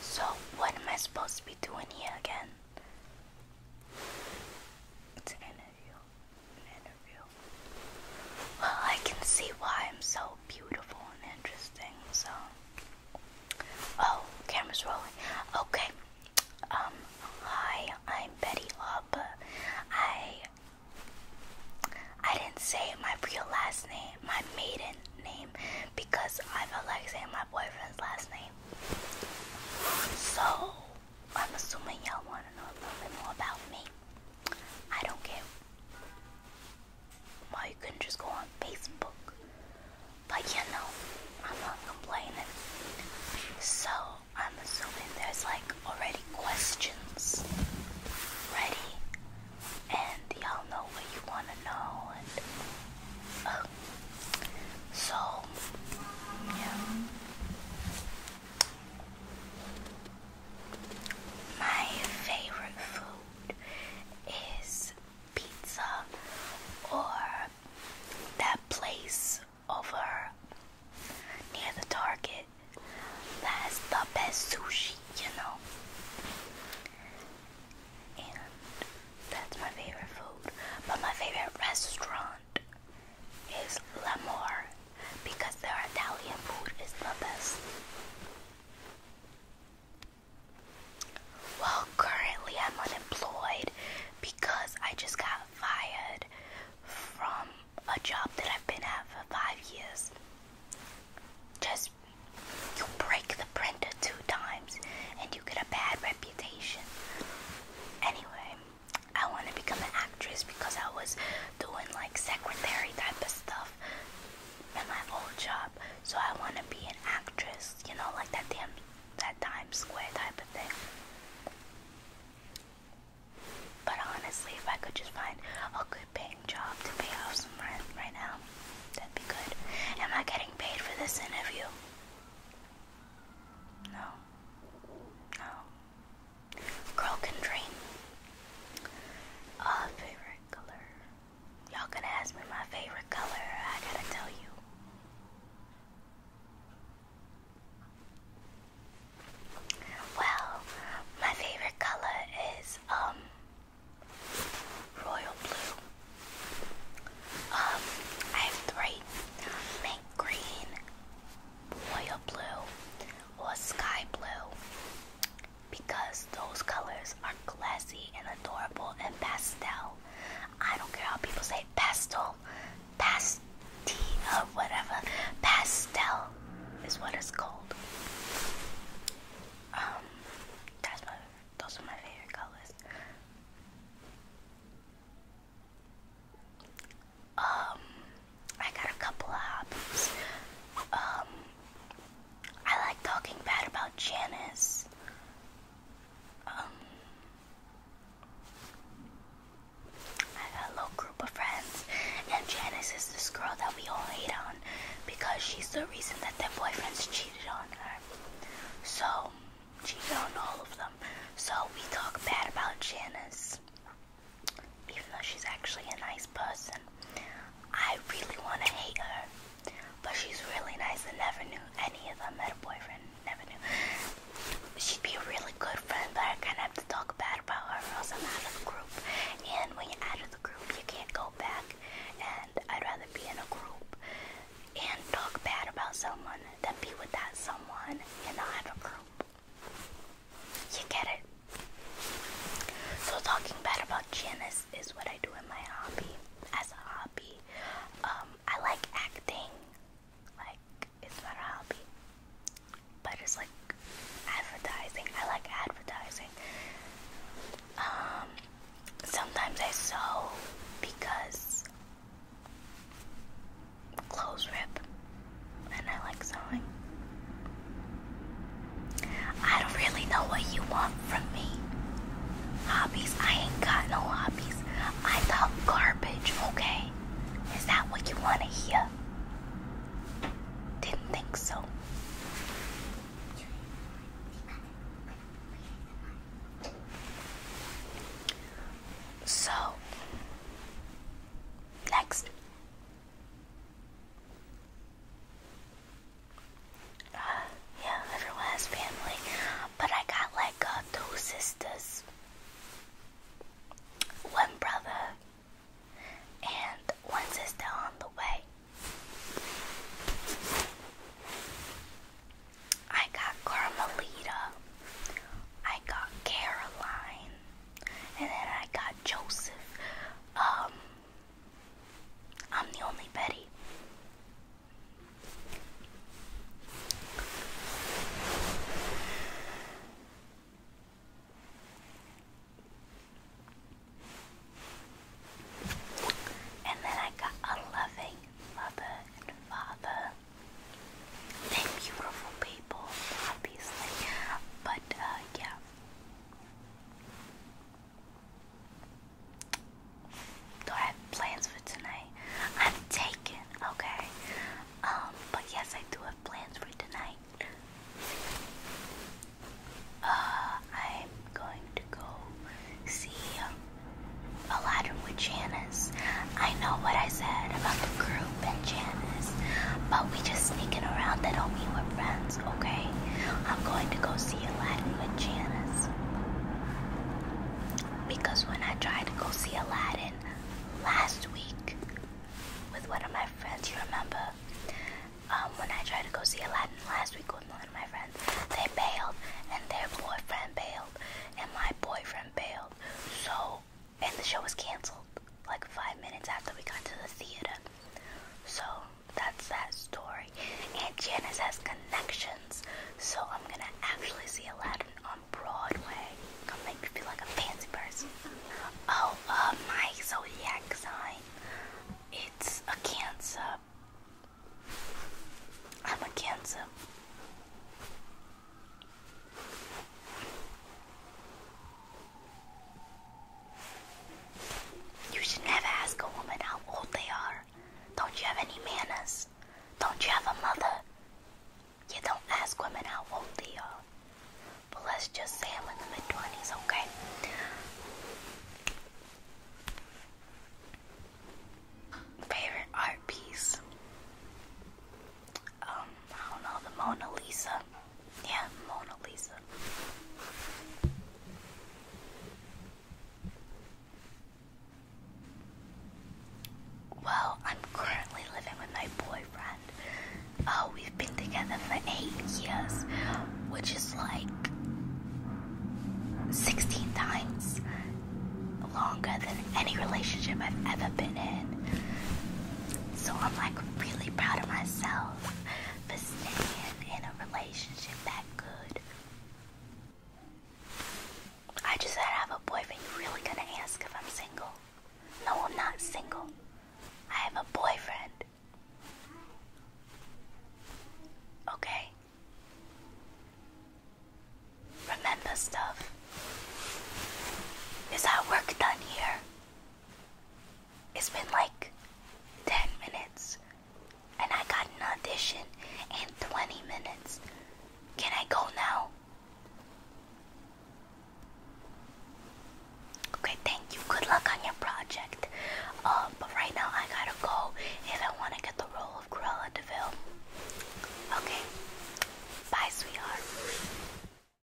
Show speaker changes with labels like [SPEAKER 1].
[SPEAKER 1] So, what am I supposed to be doing here again? It's an interview. An interview. Well, I can see why I'm so beautiful and interesting, so. Oh, camera's rolling. Okay. Um, hi, I'm Betty Hub. I I didn't say my real last name, my maiden name, because I felt like saying my boyfriend's last name. So, I'm assuming y'all want to know a little bit more about me. I don't care. Well, you can just go on Facebook. But you know, I'm not complaining. So, I'm assuming there's like already questions ready, and y'all know what you want to know. Oh, so, yeah. My favorite food is pizza or that place over near the Target that's the best sushi, you know. And that's my favorite food. But my favorite restaurant is Lamor because their Italian food is the best. Well, currently I'm unemployed because I just got fired from a job that I've been at for five years. Just you break the printer two times and you get a bad reputation. Anyway, I want to become an actress because I was doing like secretary type of stuff at my old job. So I want to be an actress, you know, like that damn that Times Square type of thing. But honestly, if I could just find a good paying job to pay off some rent right now, that'd be good. Am I getting paid for this interview? No. No. Girl can dream. Uh, favorite color. Y'all gonna ask me my favorite color, I gotta tell you. Well, my favorite color is um royal blue. Um, I have three: mint green, royal blue, or sky blue. Because those colors are classy and adorable and pastel. I don't care how people say pastel, pastina, whatever. Pastel is what it's called. Um, those are my favorite colors. Um, I got a couple of Um, I like talking bad about Janice. Um, I got a little group of friends, and Janice is this girl that we all hate on because she's the reason that their boyfriends cheated on her. So, cheated on all of them. So, we talk bad about Janice, even though she's actually a nice person. I really want to hate her, but she's really nice and never knew any of them had a boyfriend never knew. She'd be a really good friend, but I kind of have to talk bad about her or else I'm out of the group. And when you're out of the group, you can't go back. And I'd rather be in a group and talk bad about someone than be with that someone and not have a group. You get it? So talking bad about Janice is what I do in my hobby. As a hobby, um, I like acting, like it's not a hobby, but it's like advertising. I like advertising. Um, sometimes I sew because clothes rip, and I like sewing. I don't really know what you want from me. Hobbies? I ain't got no hobbies. I talk garbage, okay? Is that what you want to hear? Didn't think so. So, next. Uh, yeah, everyone has family. But I got like uh, two sisters, one brother, and one sister on the way. I got Carmelita, I got Caroline, and then I got Joseph. Um, I'm the only Betty. And then I got a loving mother and father. They're beautiful people, obviously. But, uh, yeah. Do I have plans for tonight? I'm taken, okay. Um, but yes, I do have plans for tonight. Uh, I'm going to go see um, Aladdin with Janice. I know what I said about the group and Janice, but we just sneaking around that don't mean we're friends okay? I'm going to go see Aladdin with Janice. Because when I tried to go see Aladdin last week with one of my friends, you remember? Um, when I tried to go see Aladdin last week with one of my friends, they bailed and their boyfriend bailed and my boyfriend bailed. So, and the show was canceled like five minutes after we got to the theater. So, that's that story. Aunt Janice has connections, so I'm gonna actually see Aladdin on Broadway. I'm Gonna make me feel like a fancy person. Oh, uh, my zodiac sign. It's a Cancer. I'm a Cancer. You should never ask a woman how old they are. Don't you have any manners? Don't you have a mother? You don't ask women how old they are. But let's just say I'm in the mid 20s, okay? Favorite art piece? Um, I don't know, the Mona Lisa. Yeah, Mona Lisa. Well, I'm currently living with my boyfriend. Uh, we've been together for eight years, which is like 16 times longer than any relationship I've ever been in. So I'm like really proud of myself for staying in a relationship that good. I just said I have a boyfriend. You really gonna ask if I'm single? No, I'm not single. I have a boyfriend. Okay? Remember stuff. Is our work done here? It's been like 10 minutes and I got an audition in 20 minutes. Can I go now? Okay, thank you. Good luck on your project. Uh, but right now I gotta go if I wanna get the role of Cruella DeVille. Okay. Bye, sweetheart.